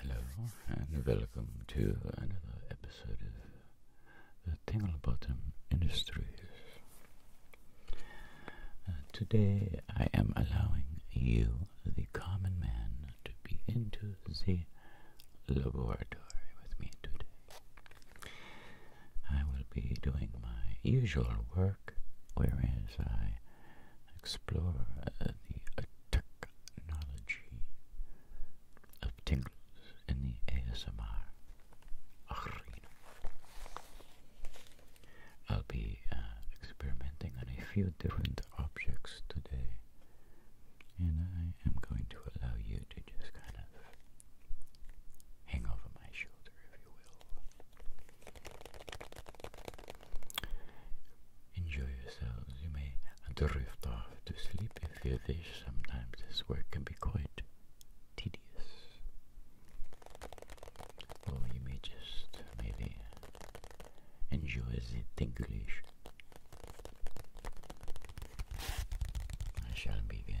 Hello and welcome to another episode of the Tingle Bottom Industries. Uh, today I am allowing you, the common man, to be into the laboratory with me today. I will be doing my usual work whereas I explore uh, the technology of tingles in the ASMR I'll be uh, experimenting on a few different objects today, and I am going to allow you to just kind of hang over my shoulder, if you will. Enjoy yourselves. You may drift off to sleep if you wish. Sometimes this work can be quite tedious. Or you may just maybe enjoy the tinglish. I shall begin.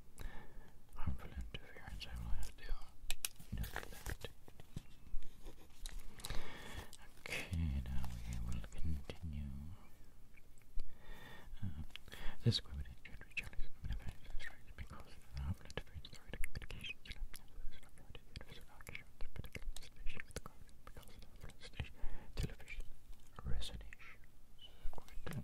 Harmful interference I will have to neglect. Okay, now we will continue. this equipment should be challenged from the manufacturer because of harmful interference through communication system. This television resonation. Quite good.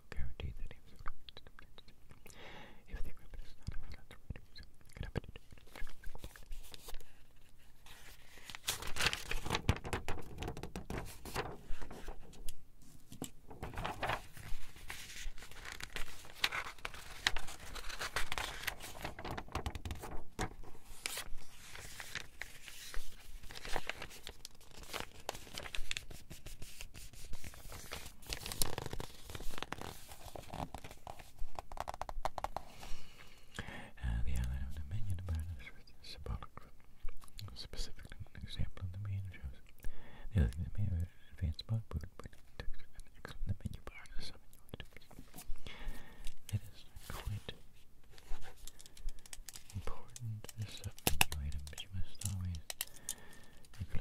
guarantee the names of If the equipment is not available, could have been uh, the outline of the menu the is symbolic, specifically an example of the menu shows. The other thing that may have advanced about food, but it took an the menu bar is something you quite important, this sub but you must always, if you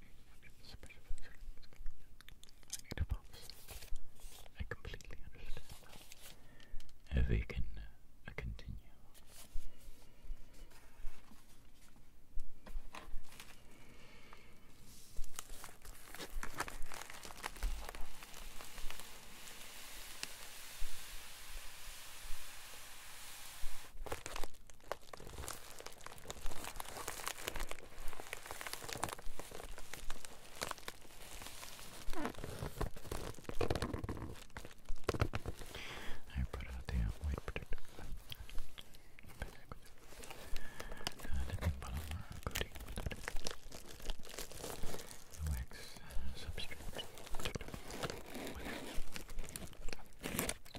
I need completely understand If we can uh, continue. I put out the white protective uh, the wax substrate.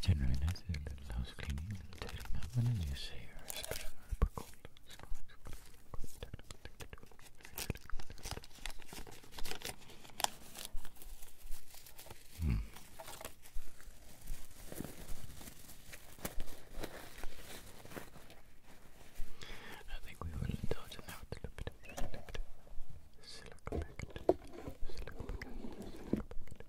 Generally nice is a little cleaning, a little tidying up, and you say you special herb Hmm. I think we will indulge in that a little bit of silicon packet. Silicon packet. Silicon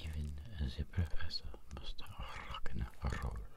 Even the professor must rock and roll.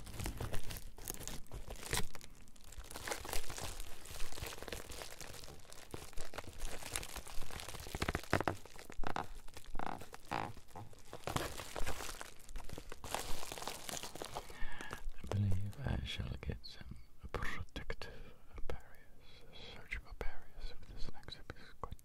I believe I shall get some protective barriers, surgical barriers this next episode.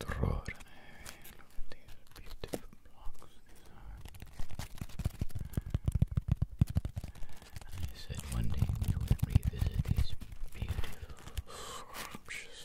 Extraordinary. Look these beautiful blocks I said one day we would revisit these beautiful, scrumptious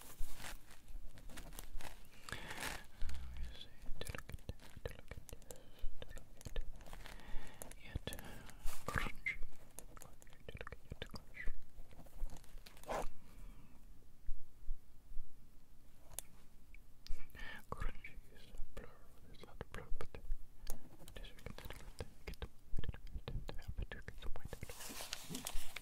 Yet crunch, delicate, crunch. Crunchy is a plural, it's not a plural, but this we can get the point out of it.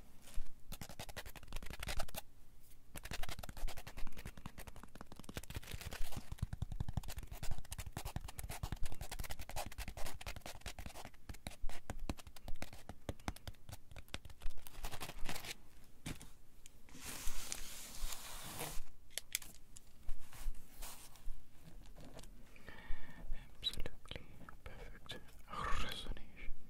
Absolutely perfect resonation.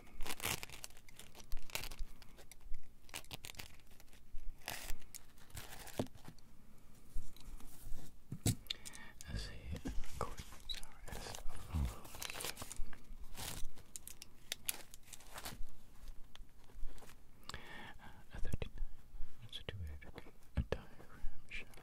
As the coordinates are as follows. Uh, 39, let's do a, a diagram, shall we?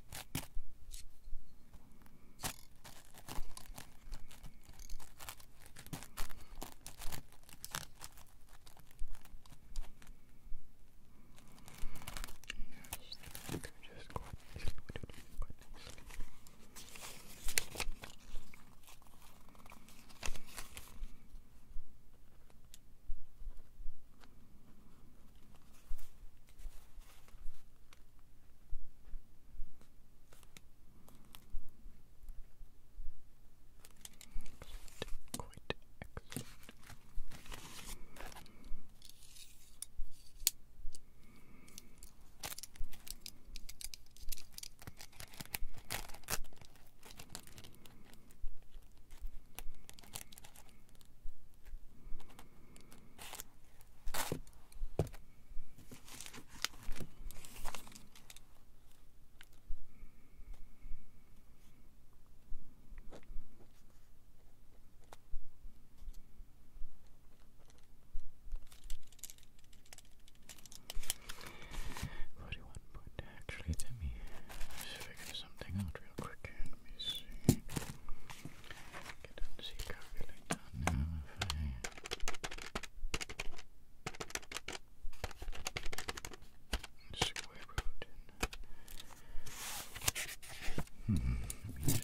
You can just go easily, quite easily. Okay. Quite excellent. Good. Forty-one point. Actually, let me figure something out real quick. Let me see. I see calculate that now if I square root Hmm, let me just to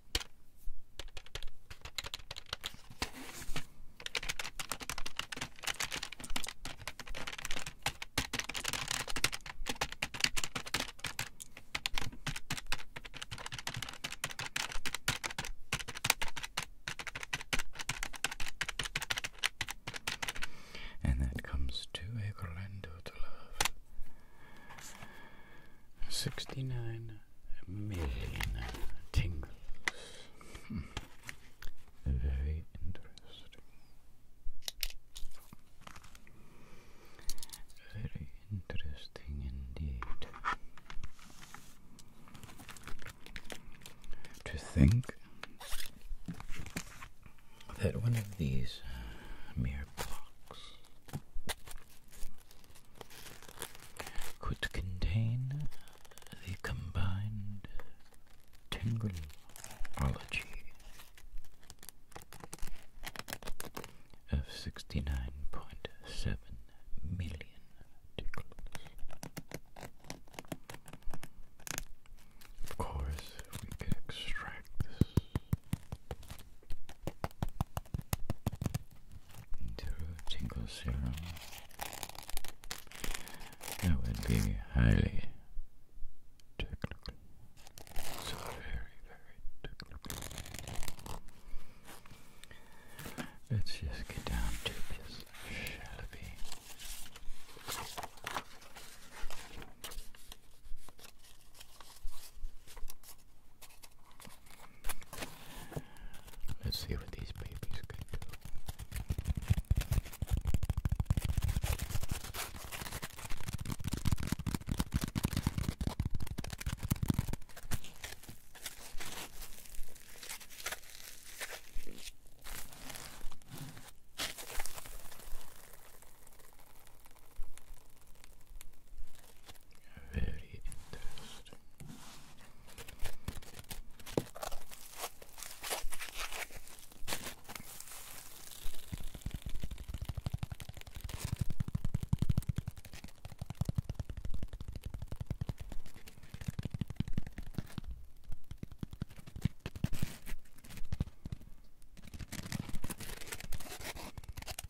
And that comes to a Orlando to love. 69 million tingles. Hmm. Very interesting. Very interesting indeed. To think that one of these uh, mere blocks could contain the combined Tingrelology of 69.7 million tickles. Of course, we could extract into a serum. That would be highly technical. So very, very technical. Let's just get down to this, shall we? Let's see what these babies can do. Very interesting.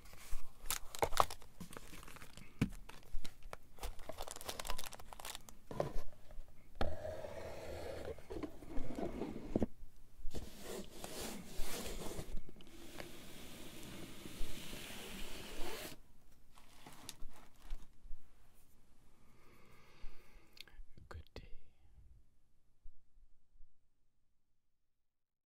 Good day.